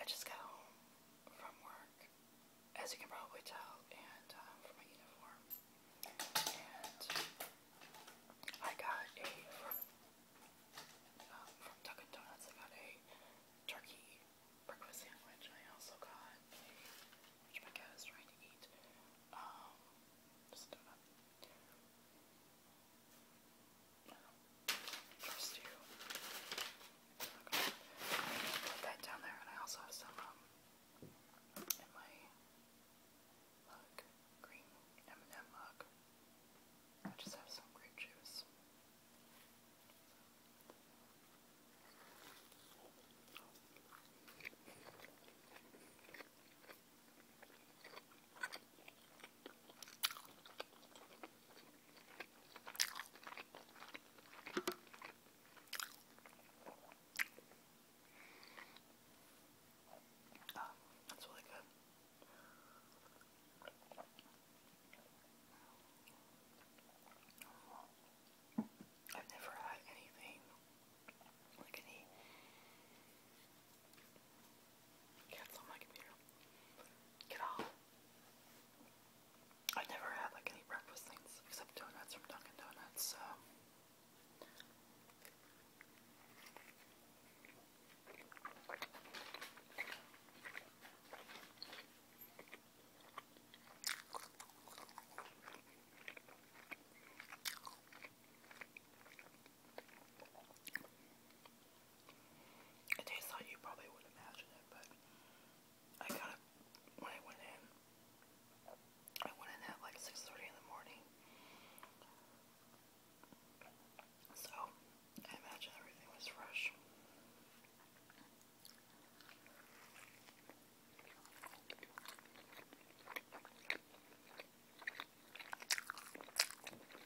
I just got home from work, as you can probably tell, and uh, from my uniform. And I got a from, um, Dunkin' Donuts. I got a turkey breakfast sandwich. I also got which my cat is trying to eat. Um, First you. Put that down there, and I also have some um, my mug, green m mug. I just have some grape juice. Oh, that's really good. I've never had anything like any Cancel my Get off. I never had like any breakfast things except donuts from Dunkin' Donuts, it tastes like you probably would imagine it, but I got it when I went in. I went in at like 6.30 in the morning. So, I imagine everything was fresh.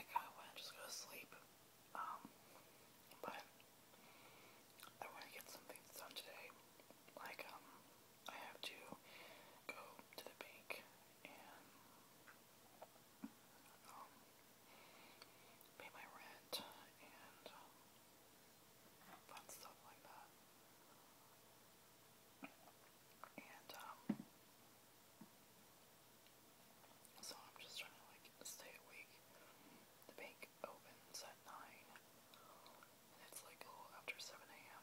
I kind of want to just go to sleep. Um, but I want to get some done today. Like, um, I have to go to the bank and, um, pay my rent and stuff like that. And, so I'm just trying to like stay awake. The bank opens at 9 it's like a little after 7 a.m.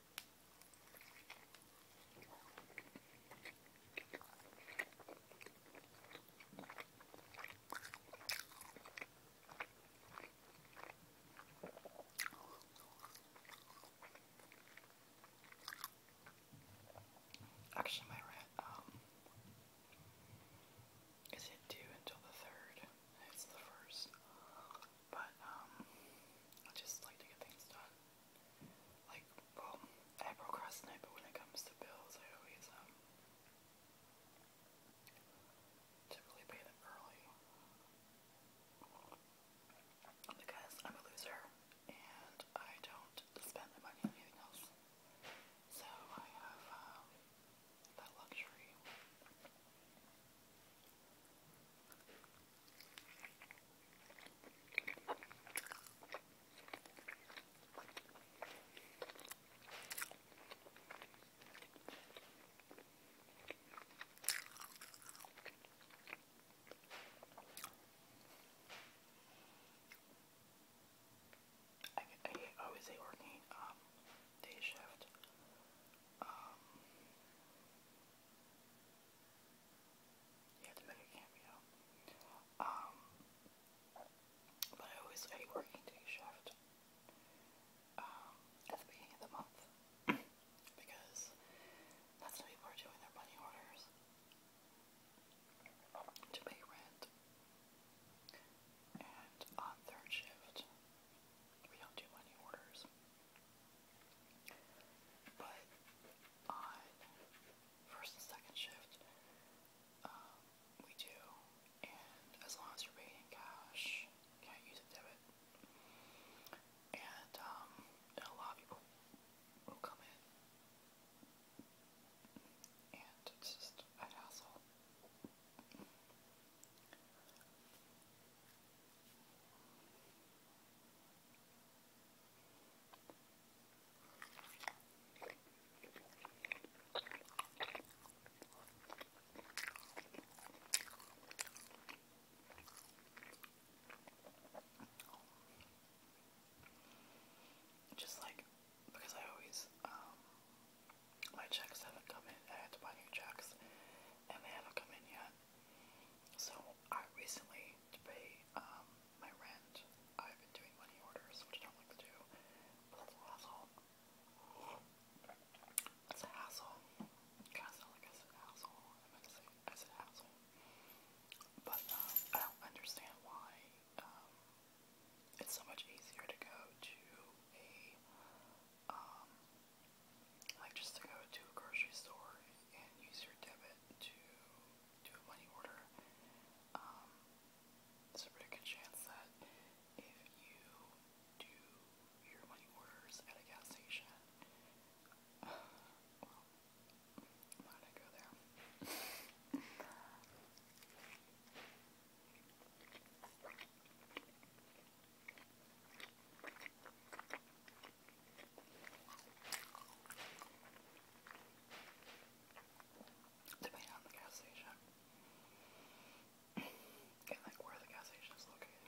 Actually, my rent, um, is it due until the third? It's the first. But, um, I just like to get things done. Like, well, I procrastinate, but when it comes to bills, I always, um, typically pay them early. Because I'm a loser, and I don't spend the money on anything else. So I have, um, that luxury. I, I always say working um, day shift. Um, you um, but I always a working day shift um, at the beginning of the month because that's when people are doing their money orders to pay rent. And on third shift, we don't do money orders. But on first and second shift, um, we do, and as long as you're paying in cash, you can't use a debit. And um, a lot of people will come in, and it's just a hassle. Just like because I always um my checks haven't come in. I had to buy new checks and they haven't come in yet. So I recently, to pay um, my rent, I've been doing money orders, which I don't like to do, but a hassle. That's a hassle. I said hassle. I said hassle. But um, I don't understand why um, it's so much easier to go to a like just to go to a grocery store and use your debit to do a money order. Um, there's a pretty good chance that if you do your money orders at a gas station, uh, well, why did I go there? Depending on the gas station. and like where the gas station is located.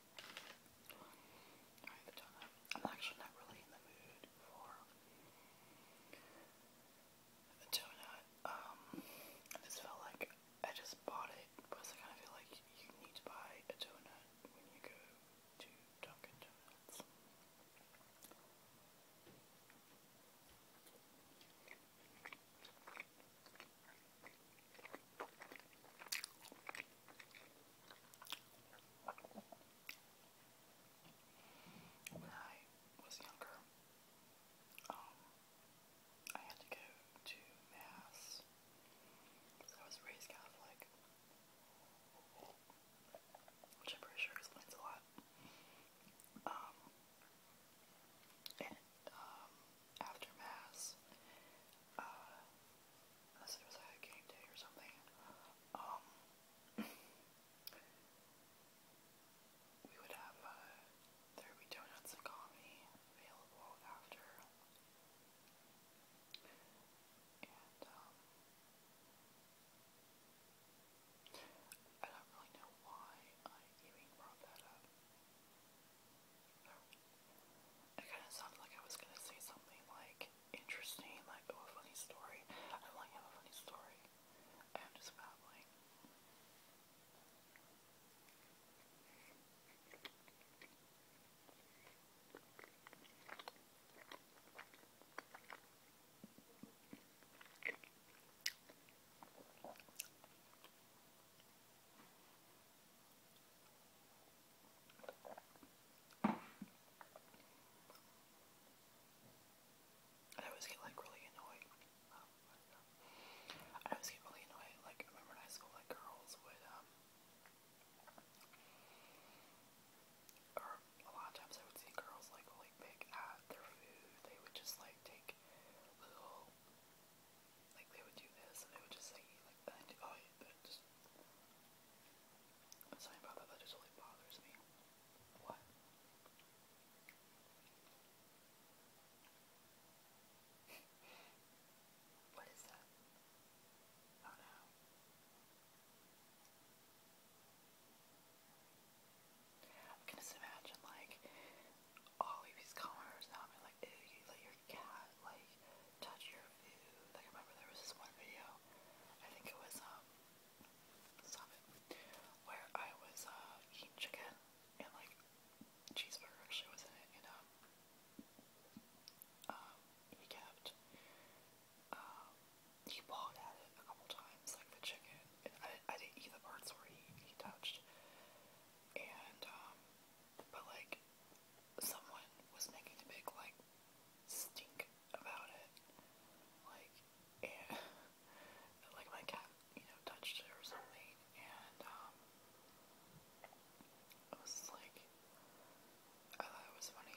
Alright, I'm actually not really in the mood for a donut. Um, I just felt like I just bought it, but I kind of feel like you need to buy a donut when you go to Dunkin' Donuts. When I was younger, um, I had to go to Mass I was raised Catholic, which I'm pretty sure explains a lot. Um, um, after Mass, uh, unless it was a game day or something. Um, we would have uh, donuts and coffee available after, um, I don't really know why I even brought that up. It kind of sounded like I was gonna say something like interesting, like oh a funny story. I don't like have a funny story. I'm just babbling. I always get like really annoyed. I always get really annoyed. Like remember in high school, like girls would, um, or a lot of times I would see girls like really pick at their food. They would just like take little like they would do this and they would just say like Oh, yeah, just I'm about that. just really bothers me. What? what is that? Oh no. I can imagine like all of these commenters now. i like, your cat, like, touch your food. Like, remember there was this one video, I think it was, um, stop it, where I was, uh, eating chicken, and, like, cheeseburger actually was in it, and, um, um, he kept, um, he pawed at it a couple times, like, the chicken, and I, I didn't eat the parts where he, he touched, and, um, but, like, someone was making a big like stink about it. Like like my cat, you know, touched it or something and um, it was like I thought it was funny.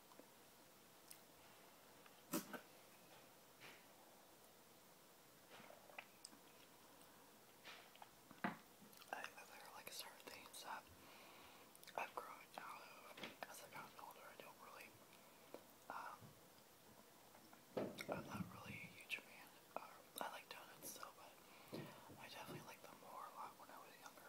I think there are like certain things that I've grown out of as I've gotten older. I don't really, um, I'm not really a huge fan. I like donuts still, but I definitely like them more a lot when I was younger.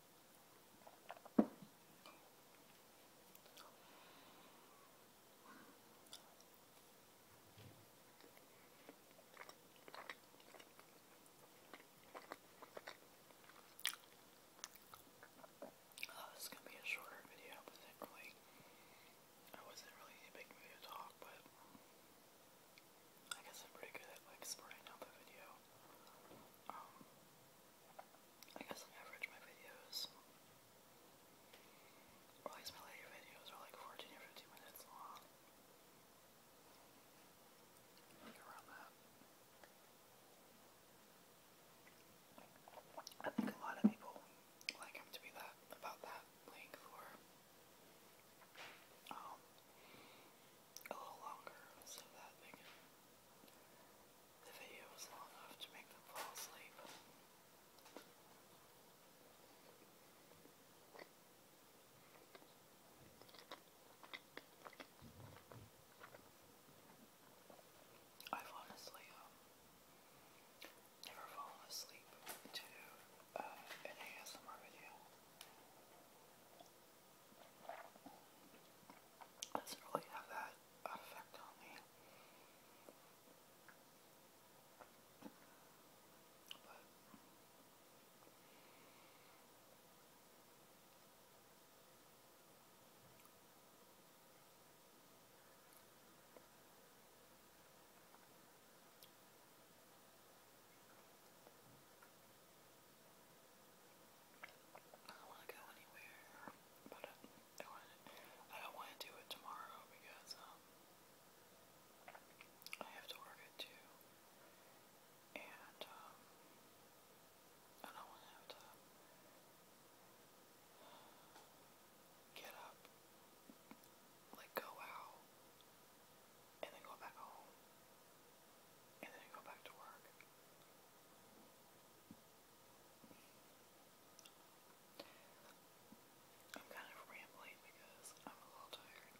Oh, this is gonna be a shorter video. I wasn't really, I to talk, but I guess I'm pretty good at like sporting out the video. Um, I guess on average my videos, or at my videos, are like 14 or 15 minutes long. around that. I think a lot of people like him to be that about that length um, a little longer so that the video was long enough to make them fall asleep. I've honestly um, never fallen asleep to uh, an ASMR video doesn't really have that effect on me. I don't want to go anywhere, but I, don't want to do it tomorrow because um, I have to work at and um, I don't want to have to get up, like go out, and then go back home and then go back to work. I'm kind of rambling because I'm a little tired.